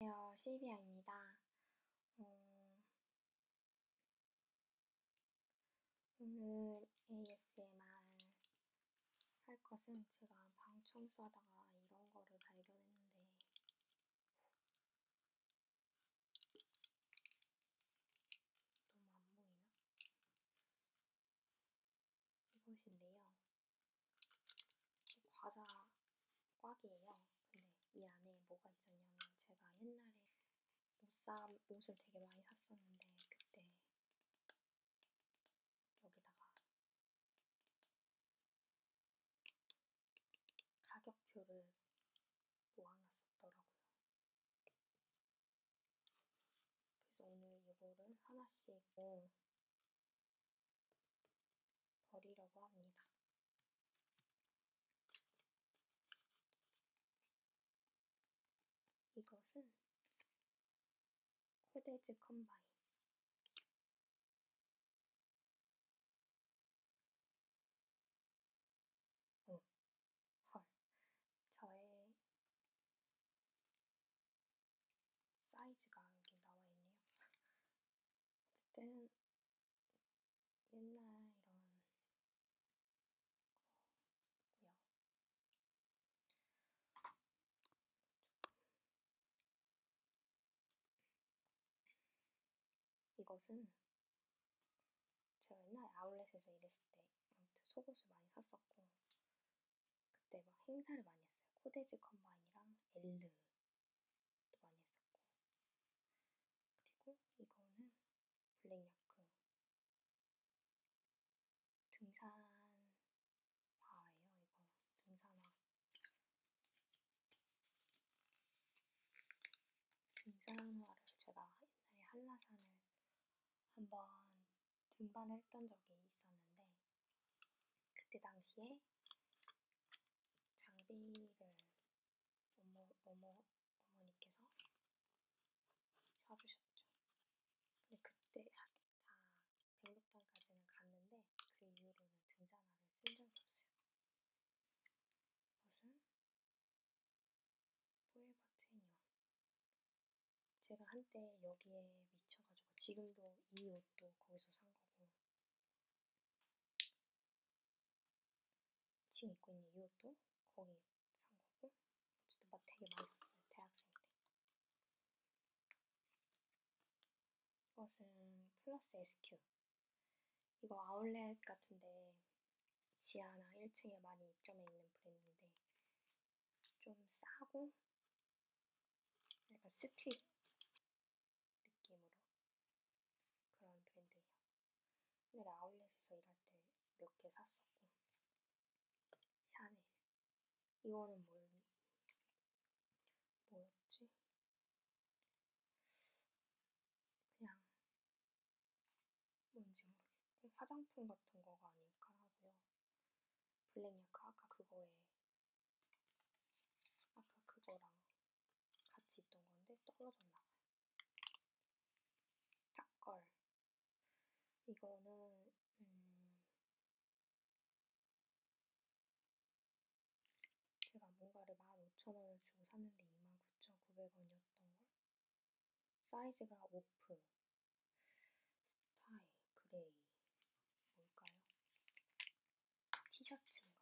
안녕하세요. 시비아입니다. 어, 오늘 ASMR 할 것은 제가 방 청소하다가 이런 거를 발견했는데 너무 안 보이나? 이것인데요. 과자 꽉이에요. 근데 이 안에 뭐가 있었냐면 제가 옛날에 옷사 옷을 되게 많이 샀었는데 그때 여기다가 가격표를 모아놨었더라고요. 그래서 오늘 이거를 하나씩 어, 버리려고 합니다. 이것은 코데즈 컴바인. 응, 헐. 저의 사이즈가 여기 나와 있네요. 어쨌든 옛날 이런 어, 뭐야 이것은 제가 옛날에 아울렛에서 일했을 때 아무튼 속옷을 많이 샀었고 그때 막 행사를 많이 했어요. 코데즈 컴바인이랑 엘르도 많이 했었고. 그리고 이거는 블랙야크 등산화예요. 이거 등산화. 등산화를 제가 옛날에 한라산을 한번 등반을 했던 적이 있었는데 그때 당시에 장비를 어머, 어머, 어머니께서 사주셨죠. 근데 그때 다 100m까지는 갔는데 그 이후로는 등잔화를 쓴 적이 없어요. 이것은 포에버 트웬니원 제가 한때 여기에 미쳐가지고 지금도 이 옷도 거기서 산 거고 지금 입고 있는 이 옷도 거기 산 거고 저도 막 되게 많이 샀어요 대학생 때 이것은 플러스 SQ 이거 아울렛 같은데 지하나 1층에 많이 입점해 있는 브랜드인데 좀 싸고 약간 스트릿 느낌으로 그런 브랜드예요. 옛날에 아울렛에서 일할 때 몇 개 샀었고 샤넬 이거는 뭘 뭐였지? 그냥 뭔지 모르겠고 화장품 같은 거가 아닐까 하고요. 블랙야크 아까 그거에 아까 그거랑 같이 있던 건데 떨어졌나 봐요. 샷걸 이거는 음 제가 뭔가를 15,000원을 주고 샀는데 29,900원이었던걸? 사이즈가 오프 스타일 그레이 뭘까요? 티셔츠인가?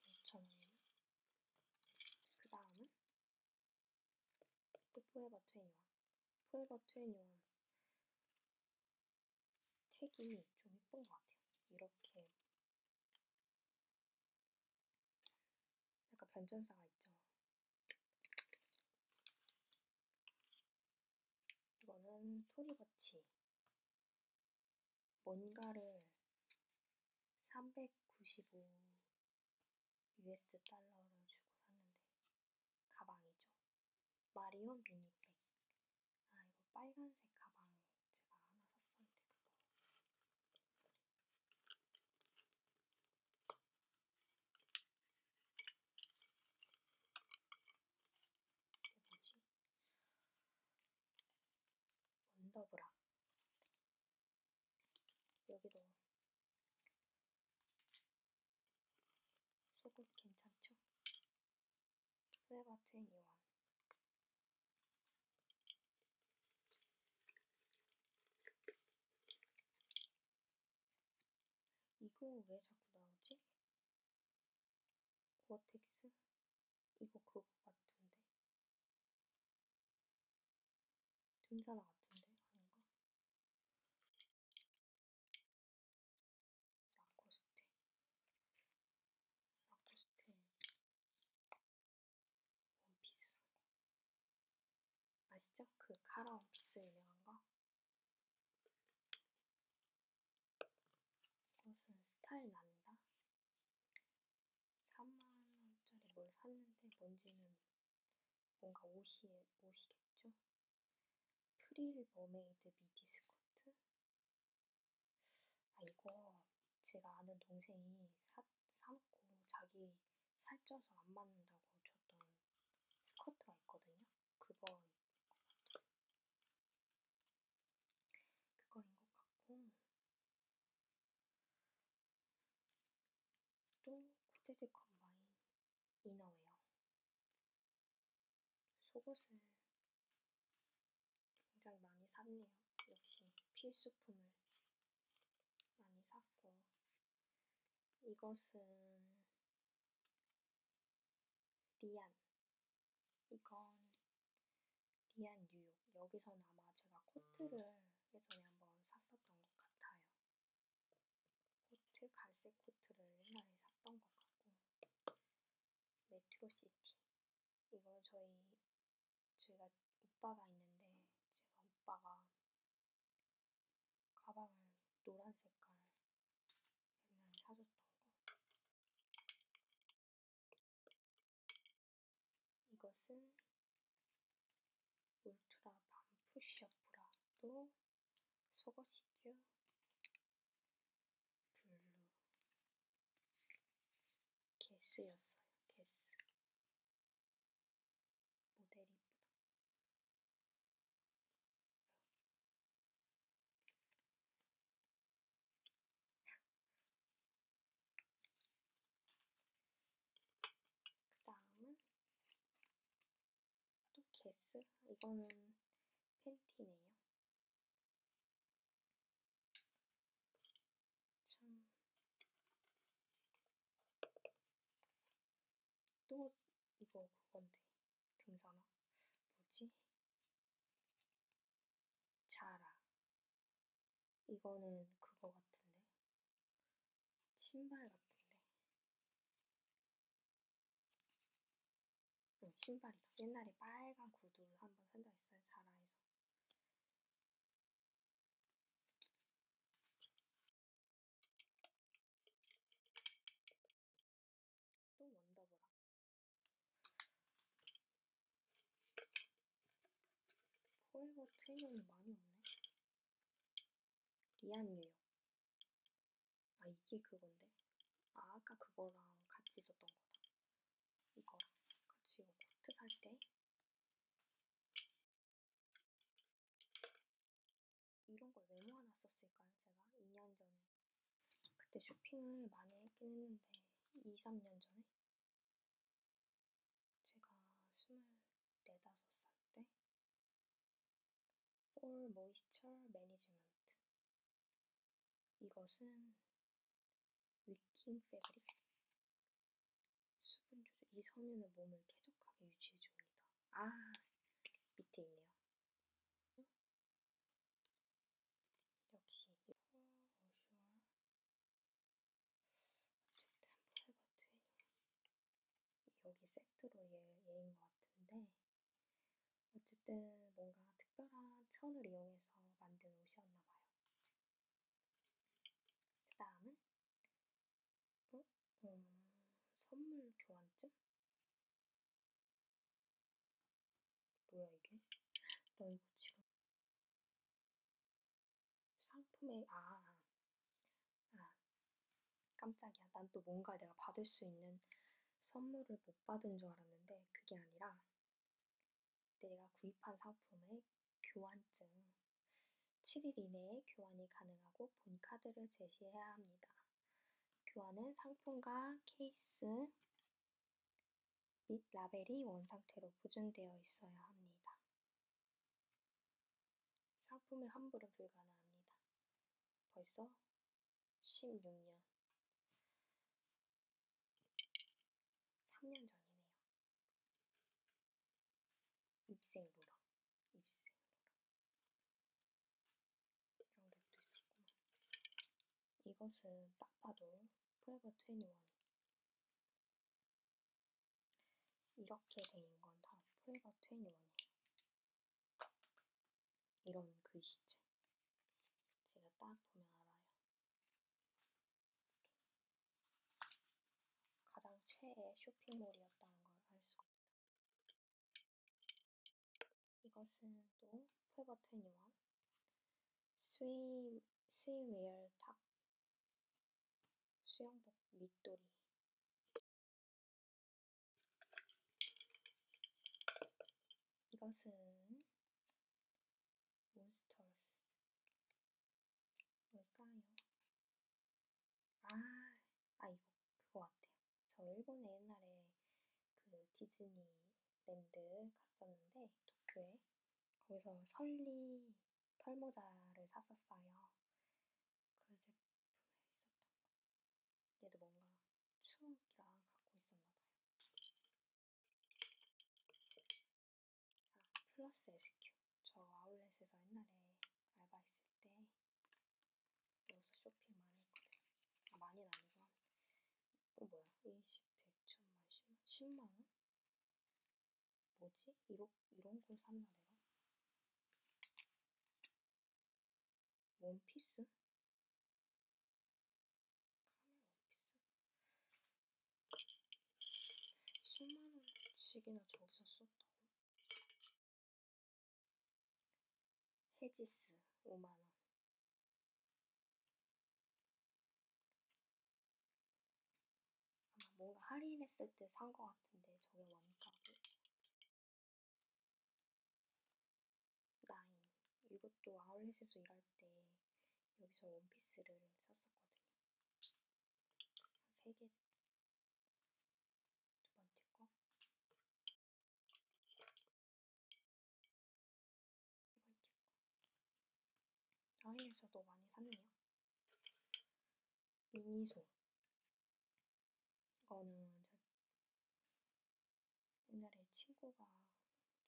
5,000원이면? 그 다음은 또 포에버 21 포에버 21 택이 좀 예쁜 것 같아요. 이렇게 약간 변전사가 있죠. 이거는 소리같이 뭔가를 395 US 달러를 주고 샀는데 가방이죠. 마리온 미니백. 아 이거 빨간색 가방 제가 하나 샀었는데 그거 뭐지? 원더브라. 여기도 속옷 괜찮죠? 세바 21. 이거 왜 자꾸 나오지? 고어텍스? 이거 그거 같은데? 등산화 같은데? 아닌가? 라코스테. 라코스테. 원피스라고. 아시죠? 그 카라오 픽스 유명한 거. 이것은 스타일 난다. 3만원짜리 뭘 샀는데 뭔지는 뭔가 옷이, 옷이겠죠? 프릴 머메이드 미디 스커트? 아, 이거 제가 아는 동생이 사, 사놓고 자기 살쪄서 안 맞는다고 줬던 스커트가 있거든요. 그거 그거인 것 같고 또 코디드 컴바인 이너웨어 속옷을 굉장히 많이 샀네요. 역시 필수품을 많이 샀고 이것은 리안. 이건 리안 뉴욕. 여기선 아마 제가 코트를 음. 예전에 한번 샀었던 것 같아요. 코트, 갈색 코트를 옛날에 샀던 것 같고. 메트로시티. 이거 저희, 제가 오빠가 있는데, 제가 오빠가 가방은 노란 색깔 옛날에 사줬던 거. 이것은 울트라 밤 푸시업 브라도 속옷이죠. 블루. 게스였어요. 게스. 모델이 이쁘다. 그 다음은 또 개스? 이거는 팬티네요. 참. 또 이거 그건데. 등산화. 뭐지? 자라. 이거는 그거 같은데. 신발 같은데. 응, 신발이다. 옛날에 빨간 구두 한 번 산적 있어요. 자라에서. 또 원더브라. 포에버 트윈은 많이 없네. 리안 뉴욕. 아, 이게 그건데. 아, 아까 그거랑 같이 있었던 거다. 이거랑 같이 이거 코트 살때 이런 걸 왜 모아놨었을까요, 제가? 2년 전에. 그때 쇼핑을 많이 했긴 했는데, 2, 3년 전에? 제가 24, 5살 때, 폴 모이스처 매니지먼트. 이것은 위킹 패브릭 수분 조절 이 섬유는 몸을 쾌적하게 유지해 줍니다. 아 밑에 있네요. 역시 여기 세트로 얘, 얘인 것 같은데 어쨌든 뭔가 특별한 천을 이용해서 만든 옷이었나 봐요. 그 다음은 어? 어, 선물 교환증? 뭐야 이게? 나 이거 지금 상품에 아, 아, 아 깜짝이야. 난 또 뭔가 내가 받을 수 있는 선물을 못 받은 줄 알았는데 그게 아니라 내가 구입한 사품의 교환증 7일 이내에 교환이 가능하고 본 카드를 제시해야 합니다. 교환은 상품과 케이스 및 라벨이 원상태로 보존되어 있어야 합니다. 상품의 환불은 불가능합니다. 벌써 16년 3년 전이네요. 입생 로라. 입생 로라. 이런 것도 있었구나. 이것은 딱 봐도 포에버 21. 이렇게 된건다 포에버 21이에요. 이런 글씨체. 제가 딱 보면 알아요. 가장 최애 쇼핑몰이었다는 걸 알 수 있다. 이것은 또 풀버 21 스위, 스위웨어 탑 수영복 밑도리 이것은 몬스터스 뭘까요? 아, 아 이거 그거 같아요. 저 일본에 옛날에 그 디즈니랜드 갔었는데 도쿄에 거기서 설리 털모자를 샀었어요. 그 제품에 있었던 거. 얘도 뭔가 추억이랑 갖고 있었나봐요. 자, 플러스 SQ. 저 아울렛에서 옛날에 알바했을 때 여기서 쇼핑 많이 했거든요. 아, 많이는 아니고 한, 어, 뭐야? 20, 100, 1000만, 10만? 10만원? 뭐지? 이런, 이런 걸 샀나 내가? 원피스? 카메라 오피스 10만원씩이나 저기서 썼다고? 헤지스 5만원 아마 뭔가 할인했을 때 산 것 같은데 저게 원가고 나인 이것도 아울렛에서 일할 때 여기서 원피스를 샀었거든요. 한 3개 두 번째 거 이번째 거 아이에서도 많이 샀네요 미니소 이거는 옛날에 친구가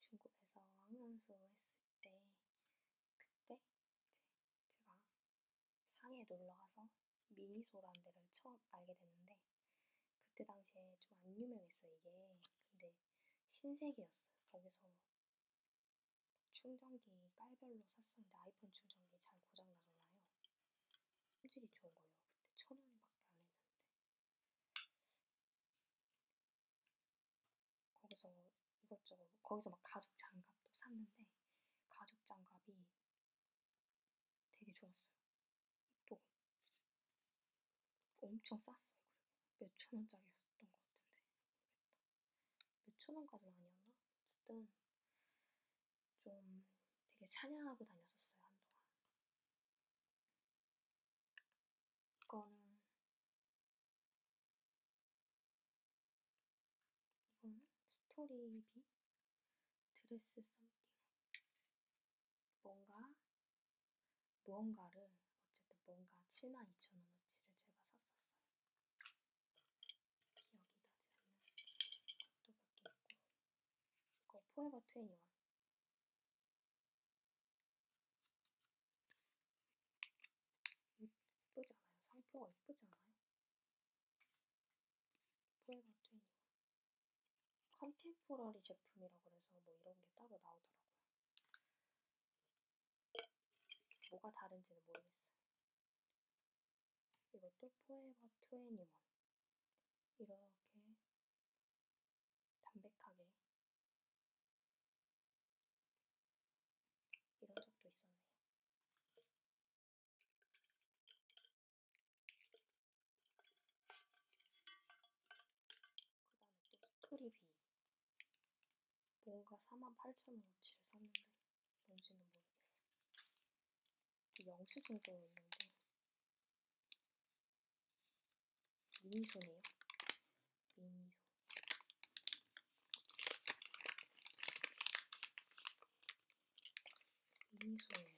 중국에서 학연수 했을 때 그때 제가 상해 놀러가서 미니소라는 데를 처음 알게 됐는데 그때 당시에 좀 안 유명했어 이게 근데 신세계였어요 거기서 충전기 깔별로 샀었는데 아이폰 충전기 잘 고장나잖아요. 품질이 좋은 거예요. 그때 천 원밖에 안 했는데. 거기서 이것저것 뭐 거기서 막 가죽 장갑도 샀는데 가죽 장갑이 되게 좋았어요. 이쁘고 엄청 쌌어요. 그리고 몇천 원짜리였던 것 같은데 모르겠다. 몇천 원까지는 아니었나? 어쨌든 좀 되게 찬양하고 다녔었어요 한동안. 이거는 이거는 스토리비 드레스 썸띵 뭔가 무언가를 어쨌든 뭔가 72,000원어치를 제가 샀었어요. 기억이 나지 않는 것도 몇개 있고 이거 포에버 21 이쁘지 않아요? 상표가 이쁘지 않아요? 포에버 트윈이 컨템포러리 제품이라 그래서 뭐 이런 게 따로 나오더라고요. 뭐가 다른지는 모르겠어요. 이것도 포에버 21 이렇게 담백하게 이런 적도 있었네요. 그 다음에 또 스토리비 뭔가 48,000원어치를 샀는데 뭔지는 모르겠어요. 영수증도 있는데 미니소네요. 미니소. 미니소에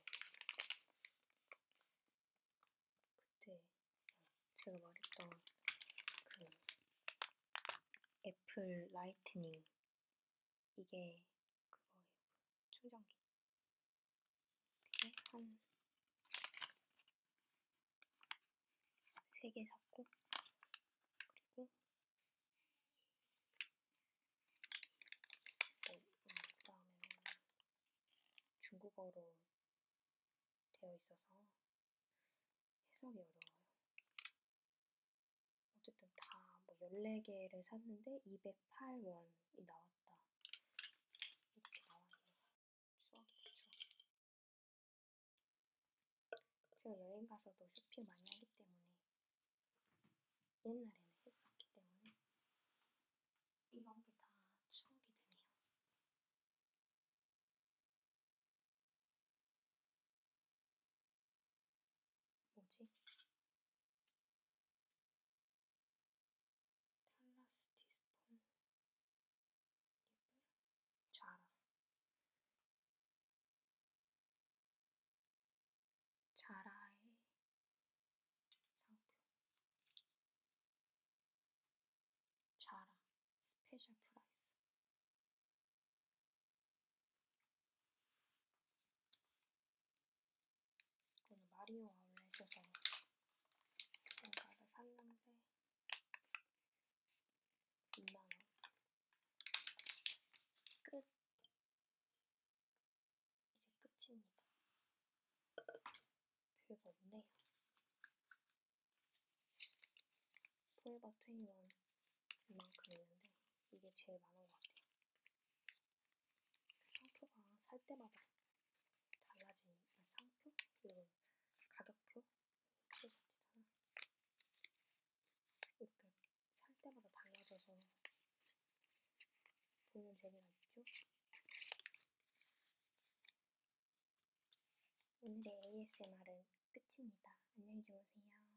그때 제가 말했던 그 애플 라이트닝 이게 그거예요. 충전기. 이렇게 네, 한, 세개 샀고, 그리고, 네, 어, 그 다음에는 중국어로 되어 있어서 해석이 어려워요. 어쨌든 다뭐 14개를 샀는데 208원이 나와서 나왔다. 이렇게 나왔네요. 추억이죠, 추억. 제가 여행 가서도 쇼핑 많이 하기 때문에 옛날에는 했었기 때문에 이런 게 다 추억이 되네요. 뭐지? 탈라스 티스폰 잎을 자라 자라의 상표 자라 스페셜 프라이스 이거는 마리오 아울렛에서 뭔가를 샀는데 2만원 끝 이제 끝입니다 별거 없네요 포에버 트이원 이만큼 있는데 이게 제일 많은 것 같아요 상표가 살 때마다 달라진 상표? 이런 가격표? 그거같이잖아 이렇게 살 때마다 달라져서 보는 재미가 있죠? 오늘의 ASMR은 끝입니다. 안녕히 주무세요.